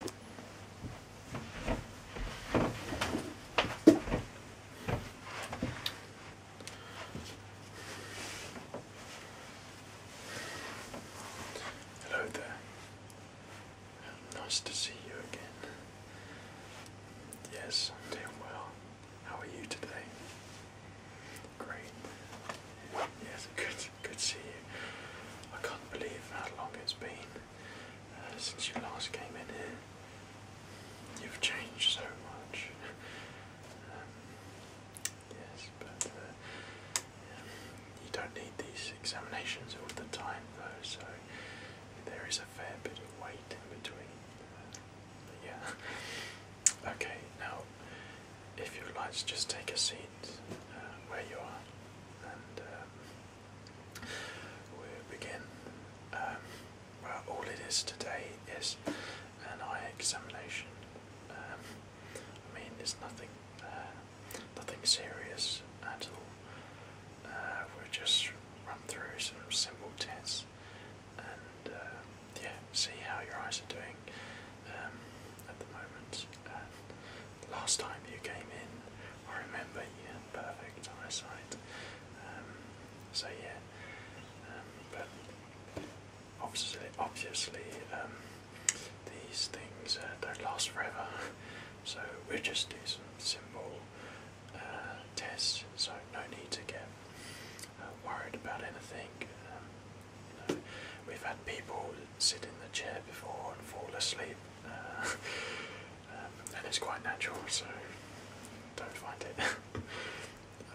Hello there. Nice to see you again. Yes, I'm doing well. How are you today? Great. Yes, good, good to see you. I can't believe how long it's been uh, since you last came in here. You've changed so much. Um, yes, but uh, yeah, you don't need these examinations all the time, though, so there is a fair bit of wait in between. Uh, but yeah. Okay, now, if you'd like to just take a seat uh, where you are, and um, we begin. Um, well, all it is today is an eye examination. Um, I mean, it's nothing, uh, nothing serious at uh, we'll just run through some simple tests and uh, yeah, see how your eyes are doing um, at the moment last time you came in, I remember you had perfect eyesight. Um, so yeah, um, but obviously, obviously um, these things uh, don't last forever. So we'll just do some simple uh, tests. So no need to get uh, worried about anything. you know, we've had people sit in the chair before and fall asleep, um, and it's quite natural, so don't find it.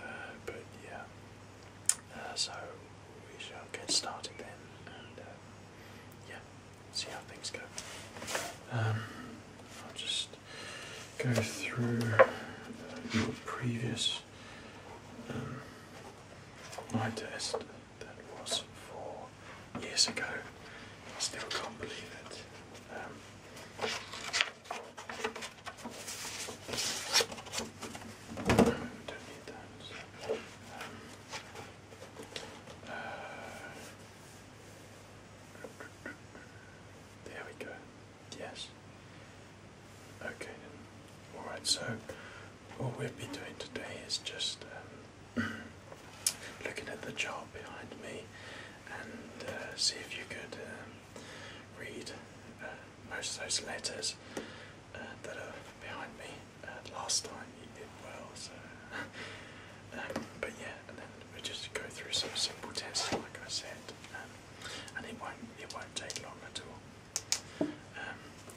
Uh, but yeah, uh, so we shall get started then, and uh, yeah, see how things go. Um, I'll just go through previous my um, test that was four years ago. I still can't believe it. Um, don't need those. Um, uh, there we go. Yes. Okay Alright, so all we'll be doing today is just um, looking at the chart behind me and uh, see if you could um, read uh, most of those letters uh, that are behind me. last time you did well, so. um, but yeah, we just go through some simple tests, like I said, um, and it won't it won't take long at all. Um,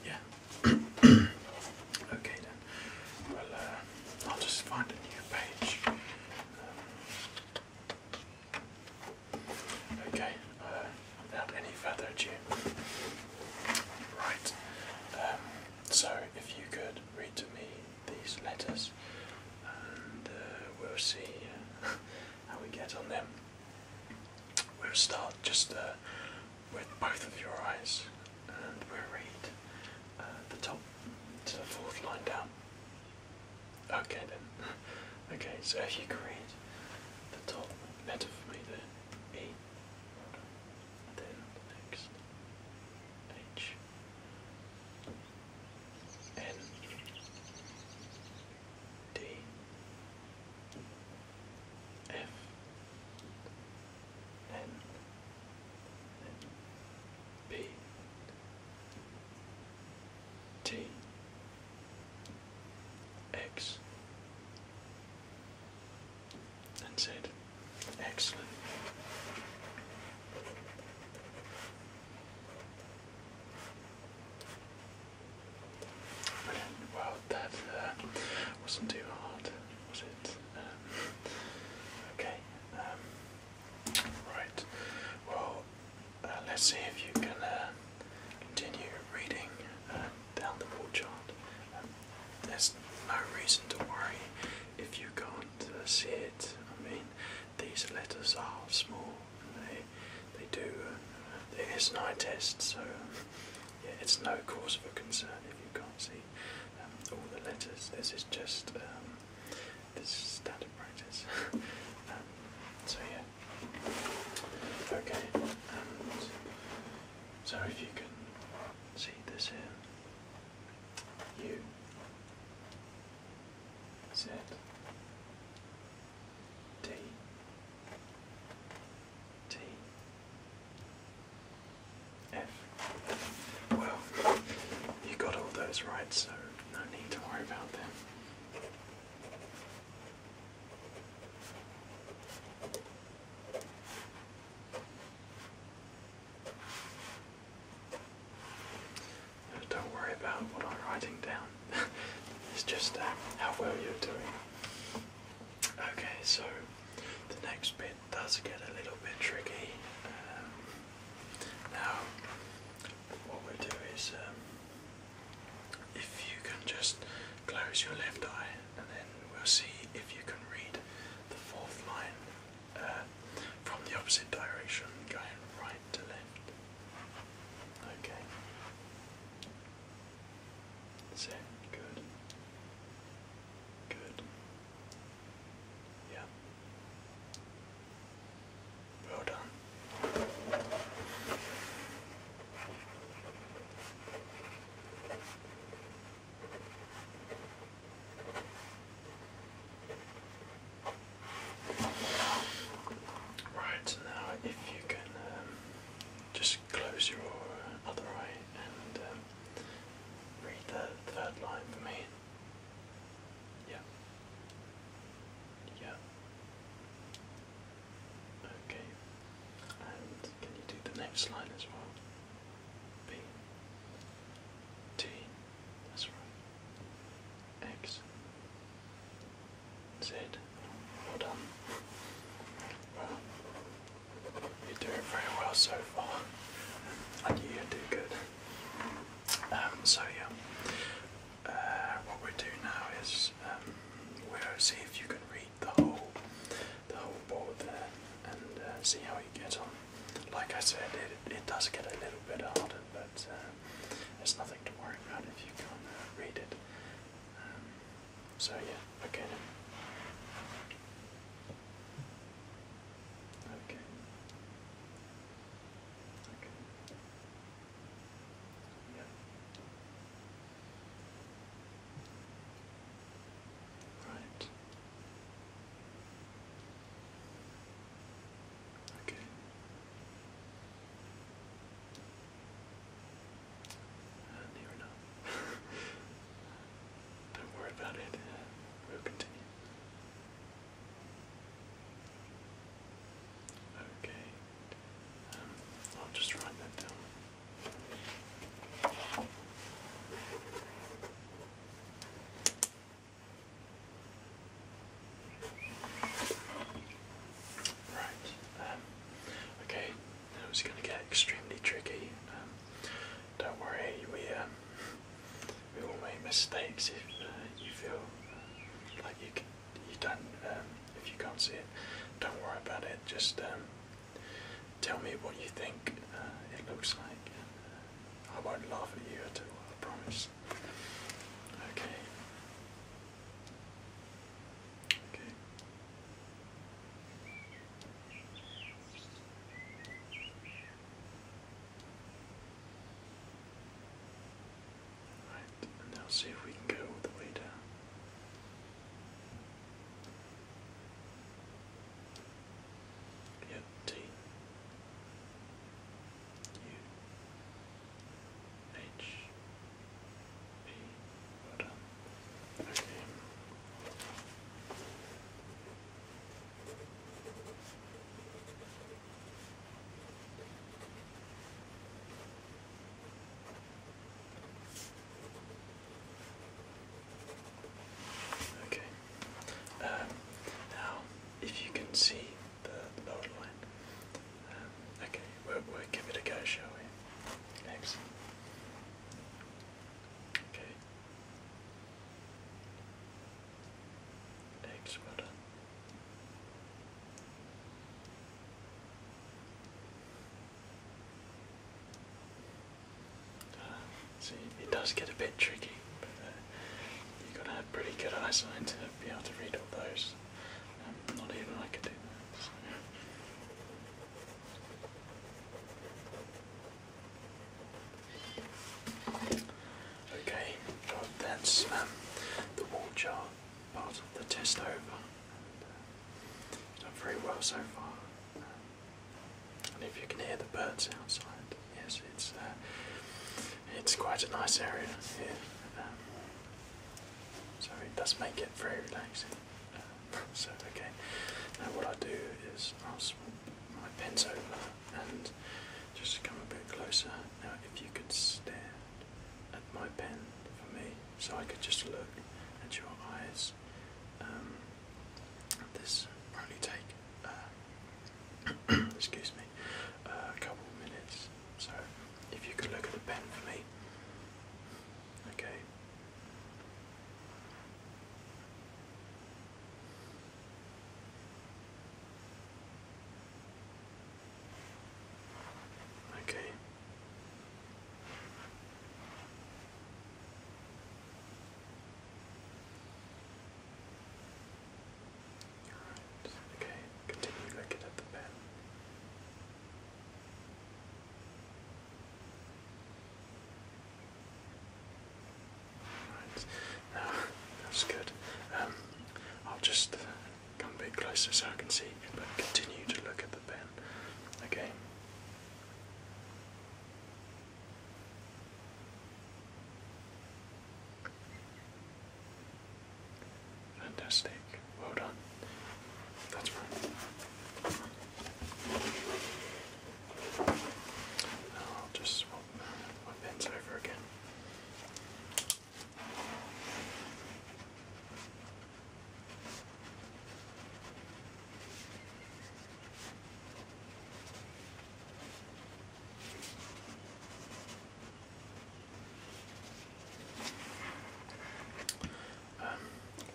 yeah. okay then. Well, uh, I'll just find a new page. Um, okay. Uh, without any further ado. Right. Um, so if you could read to me these letters, and uh, we'll see how we get on them. We'll start just with both of your eyes and we'll read uh, the top to the fourth line down. Okay then. okay, so if you can read the top letter for me there, E, then the next, H, N, D, F N N B T X and Z. Excellent. Well, that uh, wasn't too hard, was it? Um, okay. Um, right. Well, uh, let's see if you can uh, continue reading down the board chart. Um, there's no reason to worry if you can't uh, see it. I mean, these letters are small. they they do. Uh, there is no test, so yeah, it's no cause for concern if you can't see um, all the letters. This is just um, this standard practice. Um, so yeah, okay. so if you can see this here, you T, F. Well, you got all those right, so no need to worry about them. Uh, don't worry about what I'm writing down. it's just uh, how well you're doing. Okay, so the next bit does get a little bit tricky. Um, now, what we'll do is um, if you can just close your left eye, and then we'll see if you can read the fourth line uh, from the opposite direction, going right to left. Okay. That's it. Good. Good. Yeah. Well done. Right now, if you can um, just close your other eye and um, read the third line for me. Yeah. Yeah. Okay. And can you do the next line as well? B. T. That's right. X. That's Well done. Well, you're doing very well so far. And you do good. Um, so yeah, uh, what we do now is um, we'll see if you can read the whole, the whole board there, and uh, see how you get on. Like I said, it does get a little bit harder, but uh, there's nothing to worry about if you can read it. Um, so yeah, okay Okay. Okay. Yeah. Right. Okay. Don't worry about it. we'll continue. Okay. Um, I'll just write that down. Right. Um, okay. It was going to get extremely tricky. Um, don't worry, we um, we all make mistakes. If uh, you feel uh, like you can, you don't um, if you can't see it, don't worry about it. Just tell me what you think uh, it looks like. I won't laugh at you at all. I promise. Okay. Okay. Right, and now see if we can go all the way down. Yep, H B button. Okay. Okay. Um, now, if you can see the, the line, okay, we'll, give it a go, shall we? Excellent. Okay. Eggs, well ah, see, it does get a bit tricky, but uh, you are going to have pretty good eyesight to be able to read all those. Okay, that's um, the wall part of the test over. And, uh, done very well so far. Um, and if you can hear the birds outside, yes, it's uh, it's quite a nice area here. Um, so it does make it very relaxing. Uh, so okay, now what I do is I'll swap my pen over and just come a bit closer. Now if you could stare at my pen for me, so I could just look at your eyes. Um, this will only take, uh, excuse me, a couple of minutes. So if you could look at the pen for me. Okay. Okay. All right. Okay. Continue looking at the pen. that's good. Um, I'll just come a bit closer so I can see, but continue to look at the pen. Okay. Fantastic. Well done. That's right. I'll just swap my pens over again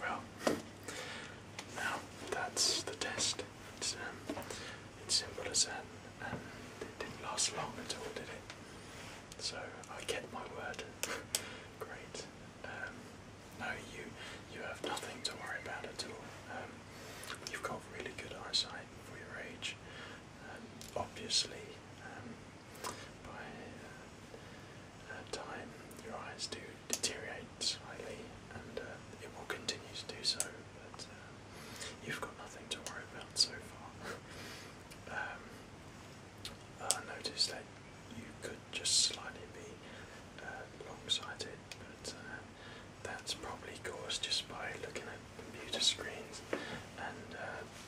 well, now that's the test. Um, it's, simple as that, and it didn't last long at all, did it? So I kept my word. Great. Um, no, you you have nothing to worry about at all. Um, you've got really good eyesight for your age. obviously, by uh, time, your eyes do deteriorate slightly, and uh, it will continue to do so. But uh, you've got nothing to worry about so far. Um, I noticed that you could just slightly be uh, but that's probably caused just by looking at computer screens and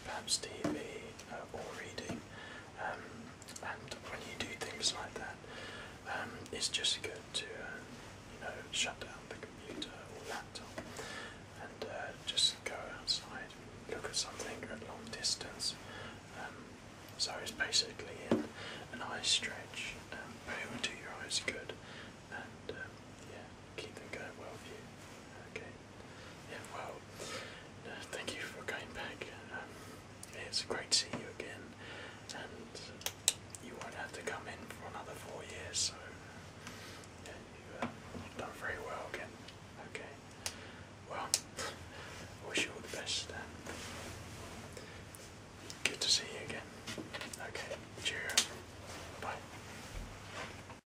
perhaps TV uh, or reading. Um, and when you do things like that, um, it's just good to uh, you know shut down the computer or laptop and uh, just go outside, and look at something at long distance. Um, so it's basically an, an eye stretch, um, but it will do your eyes good and um, yeah, keep them going well for you. Okay, well, uh, thank you for coming back. Um, it's great to see you again, and you won't have to come in for another four years, so you've uh, done very well again. Okay, well, wish you all the best, and good to see you again. Okay, cheerio. Bye.